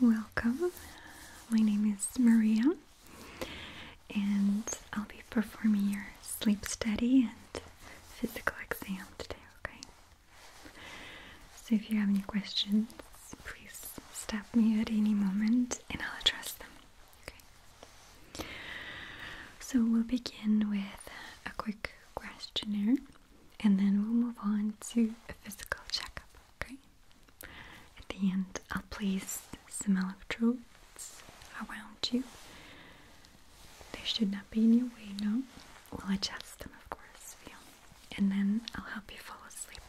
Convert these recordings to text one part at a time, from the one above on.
Welcome. My name is Maria, and I'll be performing your sleep study and physical exam today, okay? So if you have any questions, please stop me at any moment and I'll address them, okay? So we'll begin with a quick questionnaire and then we'll move on to a physical checkup, okay? At the end, I'll place some electrodes around you. They should not be in your way, no? We'll adjust them, of course, Feel. And then I'll help you fall asleep,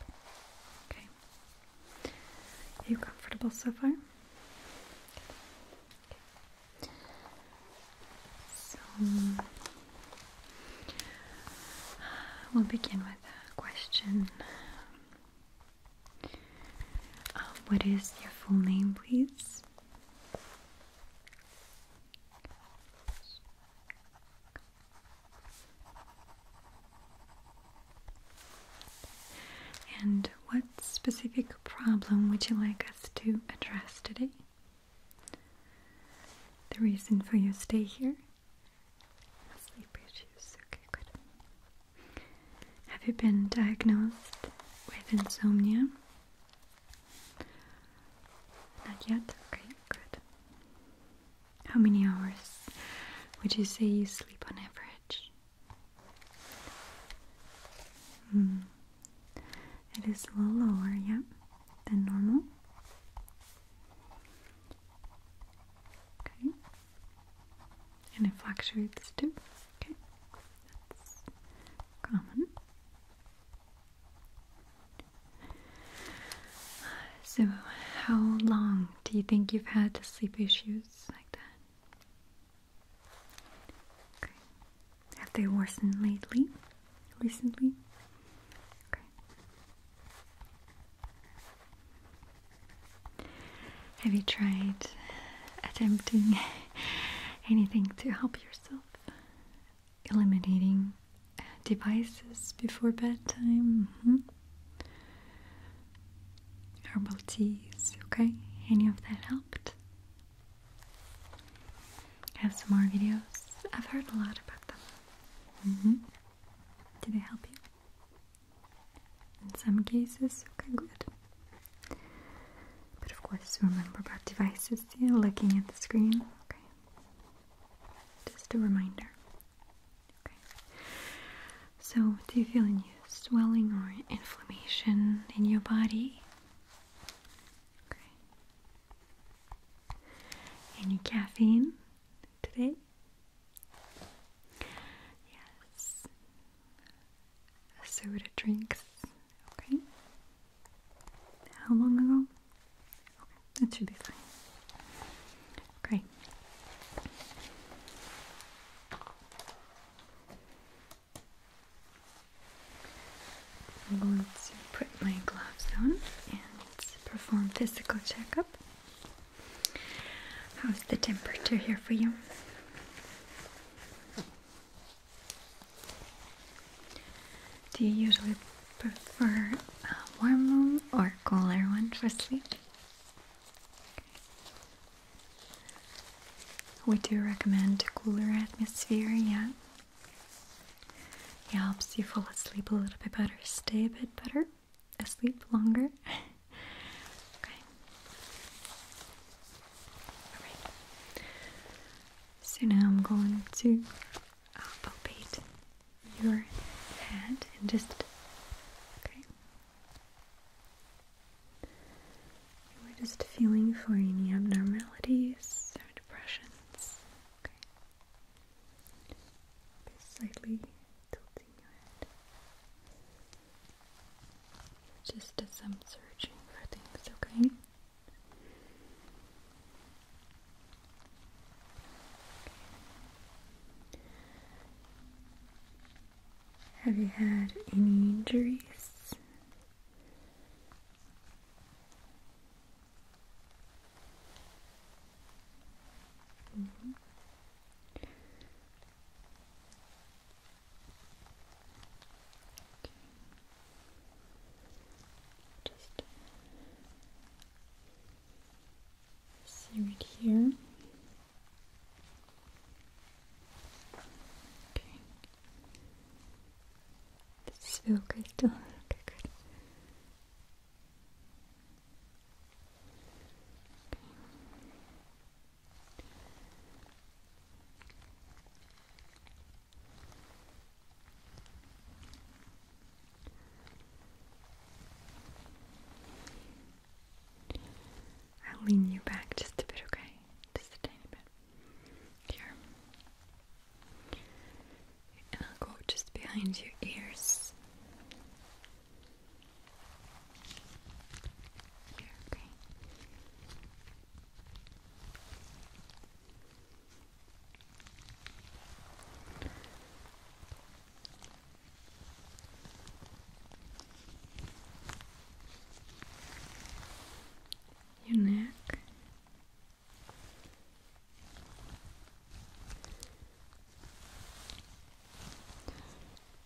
okay? Are you comfortable so far? So we'll begin with a question. Uh, what is your full name, please? And what specific problem would you like us to address today? The reason for your stay here? Sleep issues. Okay, good. Have you been diagnosed with insomnia? Not yet? Okay, good. How many hours would you say you sleep on average? Hmm. It is a little lower, yeah, than normal. Okay. And it fluctuates too. Okay. That's common. So, how long do you think you've had sleep issues like that? Have they worsened lately? Recently? Okay. Have you tried attempting anything to help yourself? Eliminating uh, devices before bedtime? Mm-hmm. Herbal teas, okay? Any of that helped? I have some more videos. I've heard a lot about them. Mm-hmm. Did they help you? In some cases, okay, good. But of course, remember about devices, yeah, looking at the screen, okay? Just a reminder. Okay. So, do you feel any swelling or inflammation in your body? Okay. Any caffeine today? Yes. Soda drinks. Okay. How long ago? that should be fine. Great. I'm going to put my gloves on and perform physical checkup. How's the temperature here for you? Do you usually prefer a warm room or cooler one for sleep? We do recommend cooler atmosphere, yeah. It helps you fall asleep a little bit better, stay a bit better, asleep longer. okay. Alright. So now I'm going to uh, palpate your head and just okay. We're just feeling for any abnormalities or depressions. Okay. slightly tilting your head. Just as I'm searching for things, okay? Have you had any injuries? Mm-hmm. Just sear it here. Okay okay good. I'll lean you back just a bit, okay? Just a tiny bit here. And I'll go just behind your ears. Here, okay. Your neck,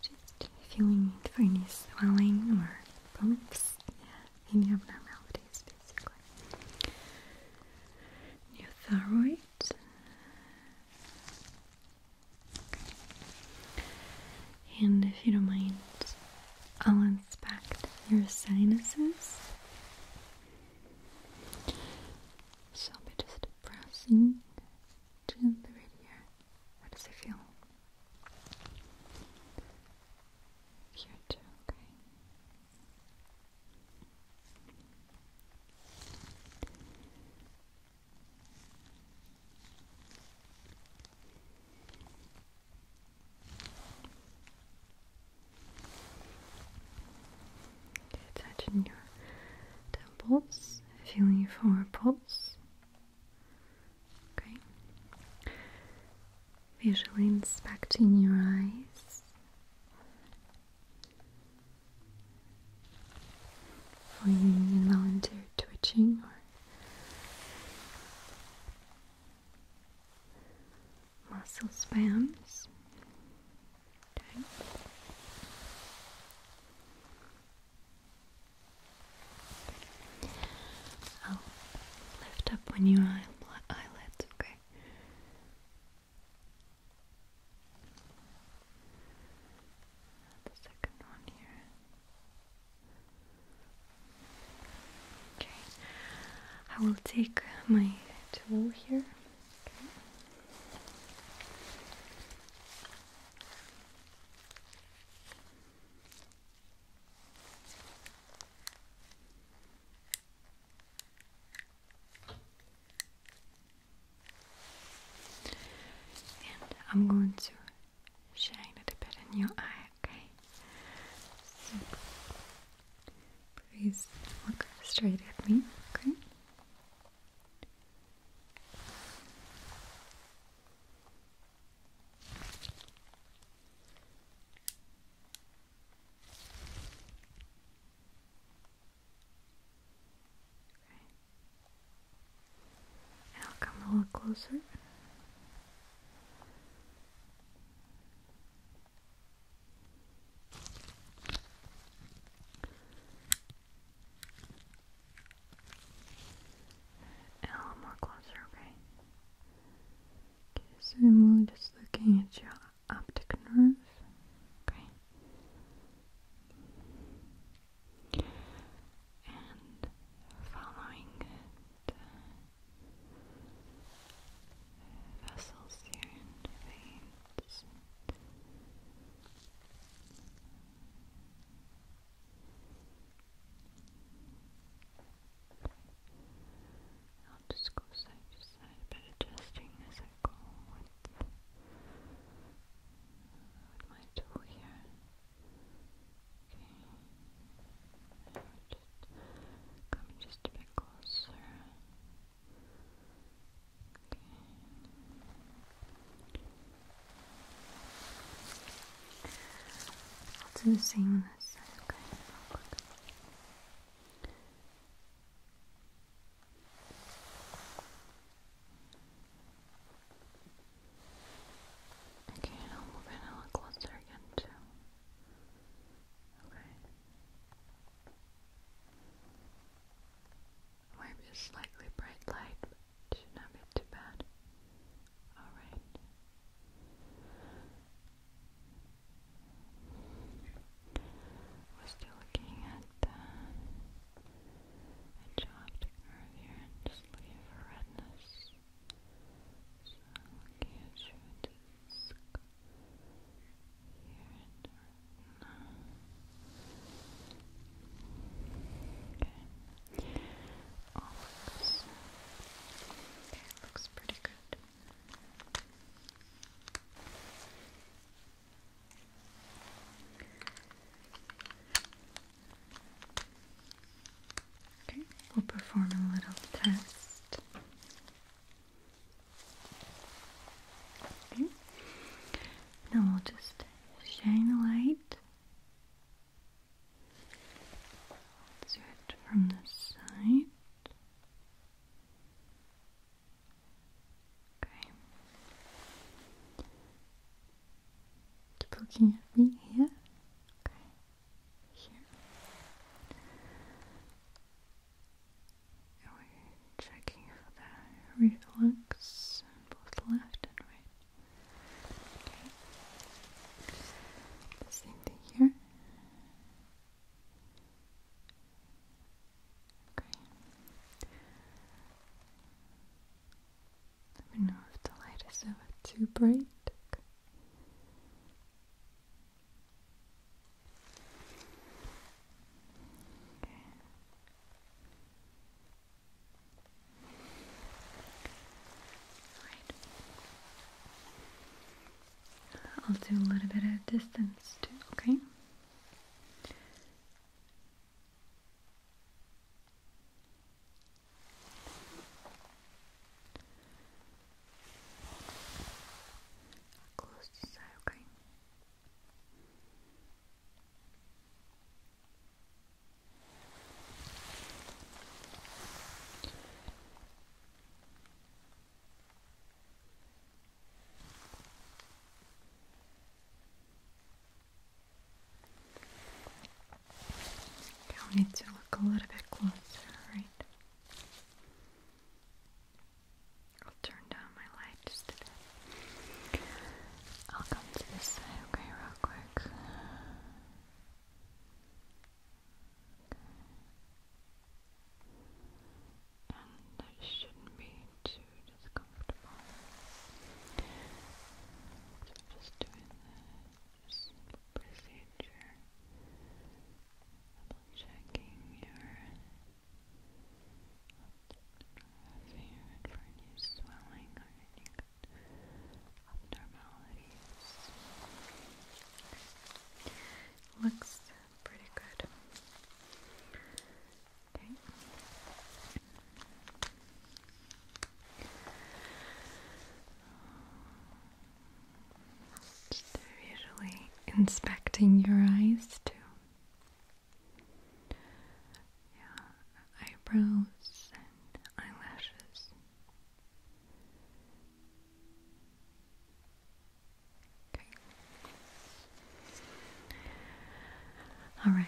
just feeling it for any swelling or bumps, yeah, any abnormalities basically. Your thyroid. And if you don't mind, I'll inspect your sinuses. So I'll be just pressing gently right here. How does it feel? Here too, okay. Touching your temples, feeling for pulse. Okay. Visually inspecting your eyes for any involuntary twitching or muscle spasms. Okay. lift up on your eyelids, okay? The second one here. Okay, I will take my tool here. And I'm going to shine a bit in your eye, okay? Please look straight at me, okay? I'll come a little closer. A little more closer, okay? so I'm just looking at your optic nerve. Okay. And following it vessels here veins. I'll just go side to side, but adjusting as I go with, my tool here. Okay, just come just a bit closer i the same on this side, okay? Okay, I'll move in a little closer again too. Okay. Maybe slightly bright light, not be too bad. Alright. We're still looking at the edge optic here and just looking for redness. So I'm looking you at Okay. looks, pretty good. Okay, we'll perform a little test. Now we'll just shine the light. let it from the side. Okay. Keep looking at me here. Okay. Here we're checking for the reflux on both left and right. Okay. same thing here. Okay. Let me know if the light is ever too bright. I'll do a little bit of distance too, okay? Close Okay. I'll need to look a little bit closer, right? I'll turn down my lights. just I'll come to this side, okay, real quick. And that shouldn't be too discomfortable. So just doing that, procedure, checking your if you're in for swelling or any abnormalities, looks pretty good. Okay. they usually inspecting your eyes too. Yeah, eyebrows and eyelashes. Okay. All right.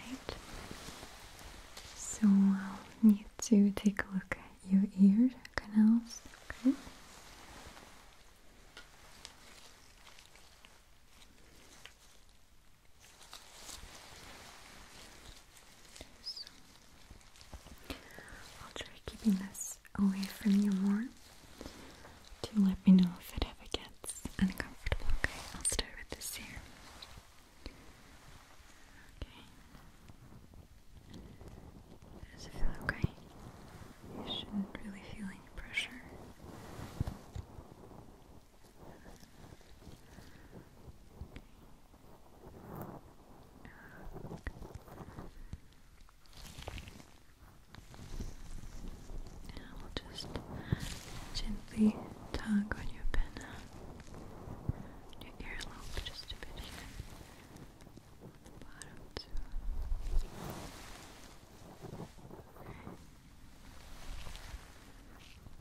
So I'll need to take a look at your ear canals. Okay. I'll try keeping this away from you more. To let me know if it ever gets uncomfortable. Okay, I'll start with this here. Okay. Does it feel okay? You shouldn't really feel any pressure. just gently tug on your earlobe just a bit here. On the bottom too.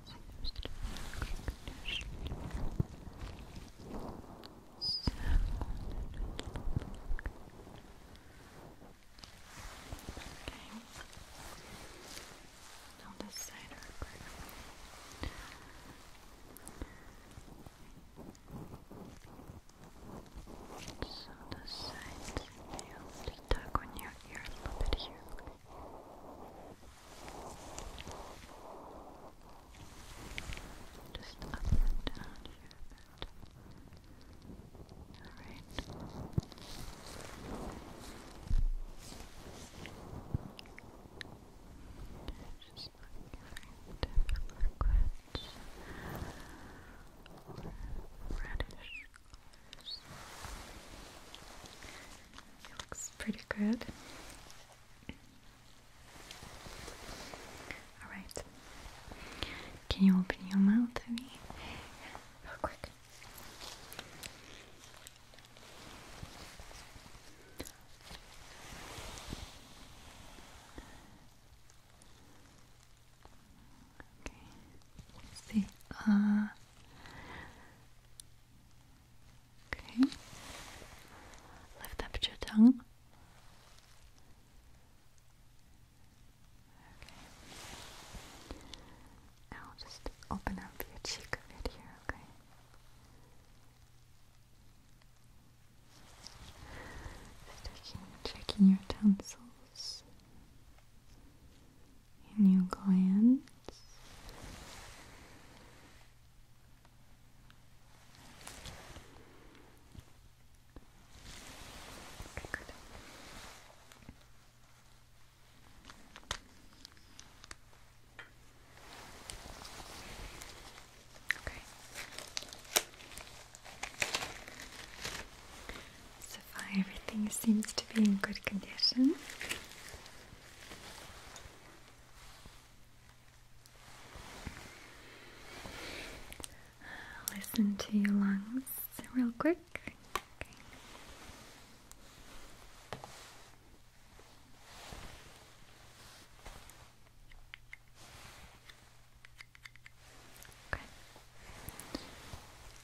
Seems to be in good condition. So, Okay. Now this side real quick. Okay. So the sides, they tug on your ear a little bit here. Just up and down here a Alright. Just looking for different reddish it looks pretty good. Alright. Can you open your mouth to me? Real quick. Okay. Let's see. Uh, okay. Lift up your tongue. Okay. Now just open up your cheek a bit here, okay? checking your tonsils. And you glance. Okay. So far, everything seems to be in good condition. Uh, listen to your lungs real quick. Okay.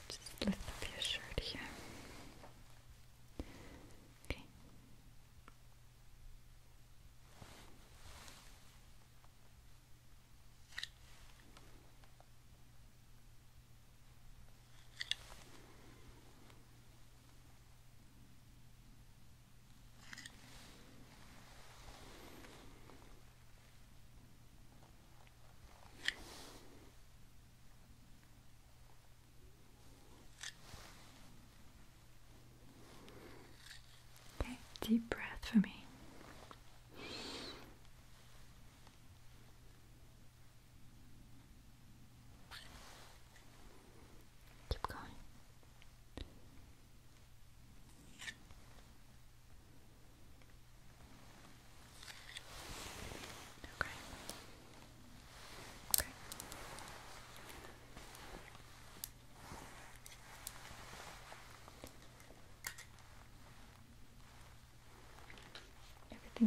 Just lift up your shirt here. Okay. Okay, deep breath for me. Keep going. Okay.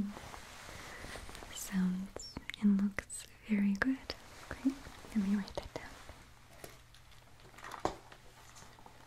Everything sounds and looks very good. Okay, let me write that down.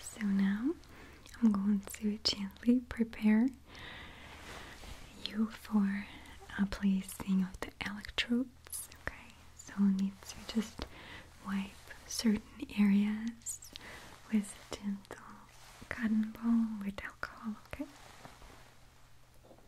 So now I'm going to gently prepare you for a placing of the electrodes. Okay, so we need to just wipe certain areas with a gentle cotton ball with alcohol. Okay.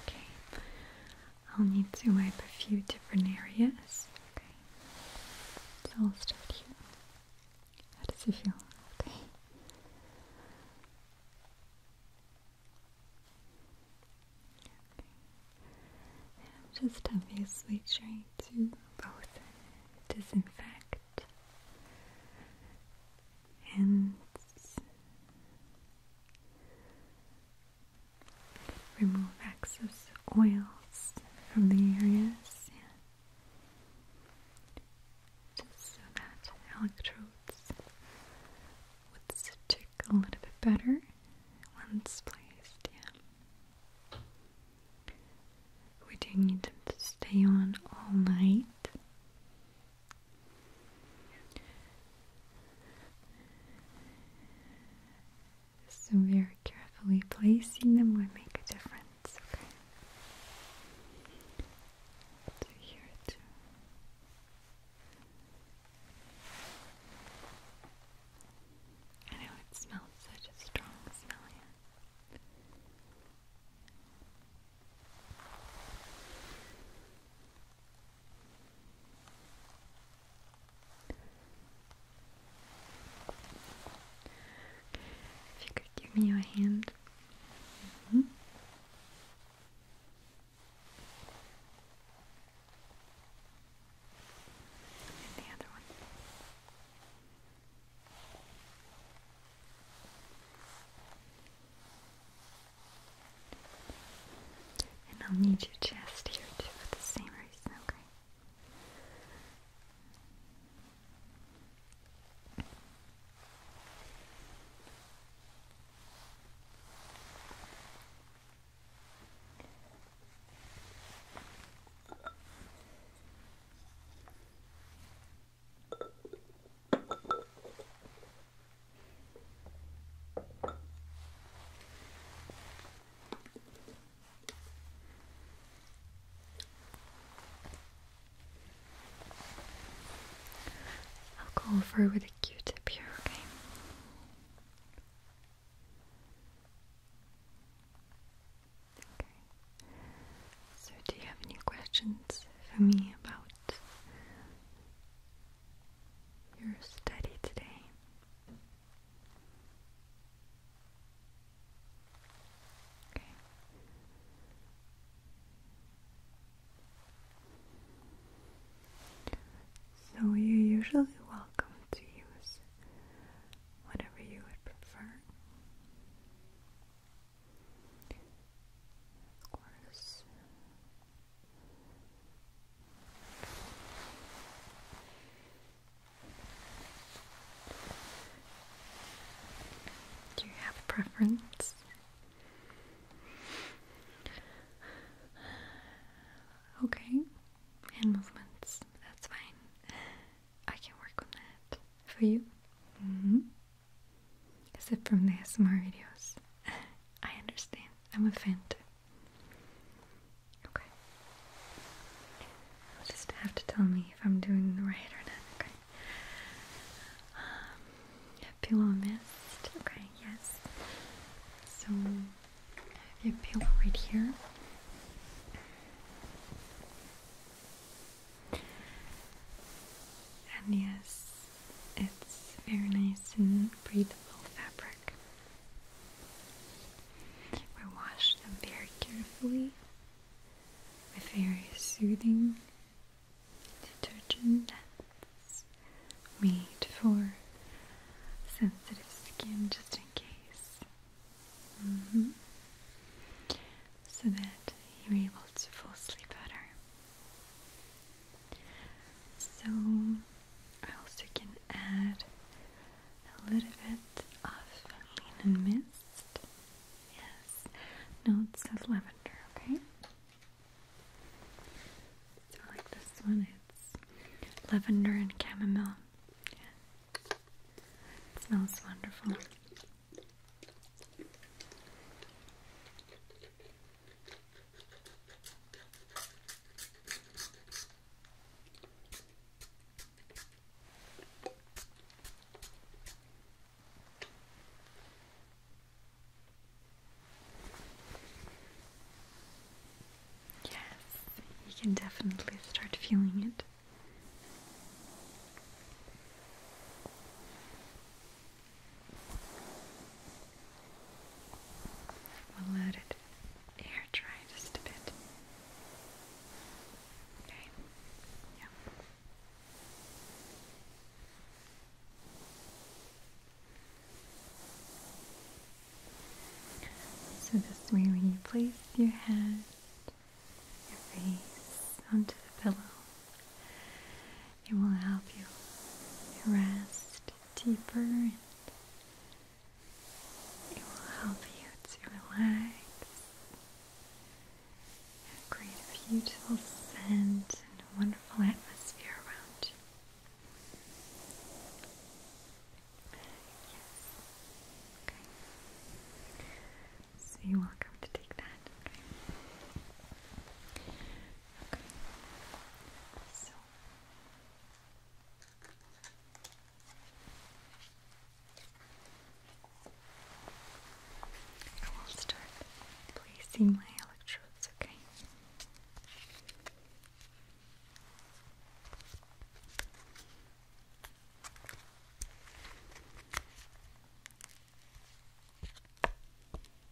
Okay, I'll need to wipe a few different areas. Okay, so I'll start here. How does it feel? Okay. Okay. I'm just obviously trying to both disinfect and remove excess oils from the areas. Yeah. Just so that electrodes would stick a little bit better once placed. Yeah. We do need them to stay on all night. So, very carefully placing them would make a difference. Okay. I know it smells such a strong smell if you give me your hand. Mm-hmm. And the other one. And I'll need your chest here too for the same reason, okay? I'll go over with a Q-tip here, okay? So, do you have any questions for me about you're steady today. Okay. So you're usually welcome to use whatever you would prefer. Of course, do you have a preference? Okay, hand movements, that's fine. I can work on that for you. Mm-hmm except from the ASMR videos. I understand. I'm a fan too. Okay. You'll just have to tell me if I'm doing the right or not. Okay. Um, pillow mist. Okay. Yes. So I have your right here. And yes, it's very nice and breathable fabric. We wash them very carefully with very soothing detergent that's made for sensitive skin just in case. Mm-hmm. So that you're able to fall asleep better. So I also can add a little bit of linen mist. Yes, No, it says lavender, okay? So like this one, it's lavender and chamomile. Yeah. smells wonderful. Yes, you can definitely start feeling it. We'll let it air dry just a bit. Okay. Yeah. So this way when you place your head, your face onto the pillow, it will help you rest deeper and it will help you to relax and create a beautiful scent and a wonderful atmosphere around you. So you're welcome to take that. Okay. I will start placing my electrodes, okay?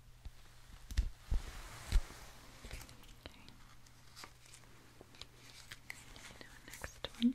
Okay. Now next one.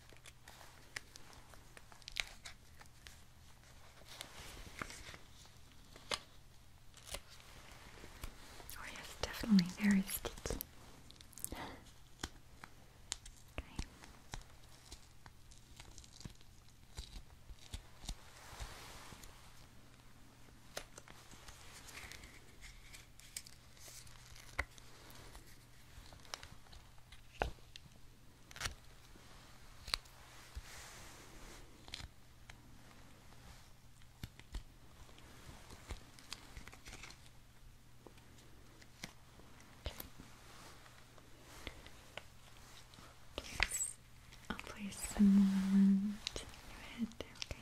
Oh yes, definitely very sticky. okay. I'll place some more around your head, okay?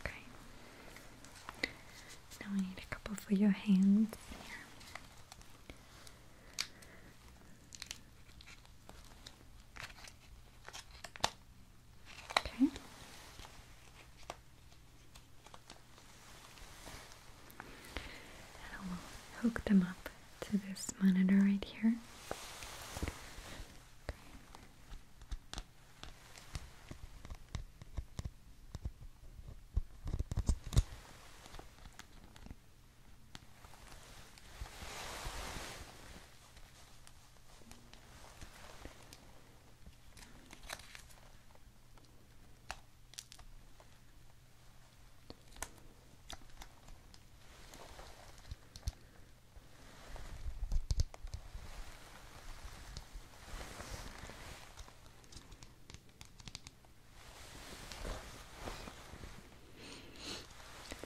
Okay. Now I need a couple for your hands Okay. I will hook them up to this monitor right here.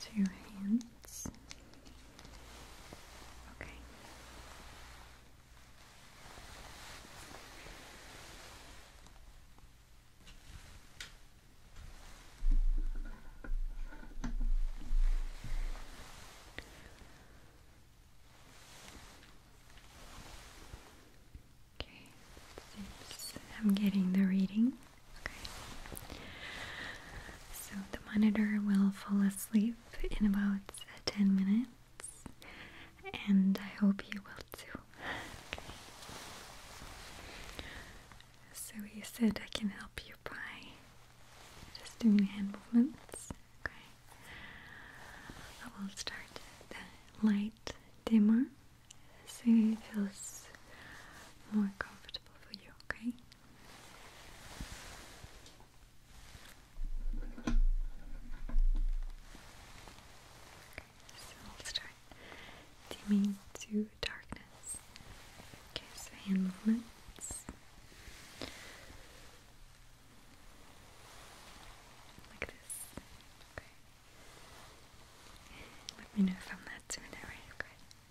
To your hands. Okay. Okay, seems I'm getting the reading. Okay. So the monitor will fall asleep in about 10 minutes and I hope you will too. So you said I can help you by just doing hand movements. Okay. I will start the light dimmer so it feels more comfortable for you, okay? so we'll start dimming to darkness. Okay, so hand movements. Like this. Okay. Let me know if I'm not doing it right.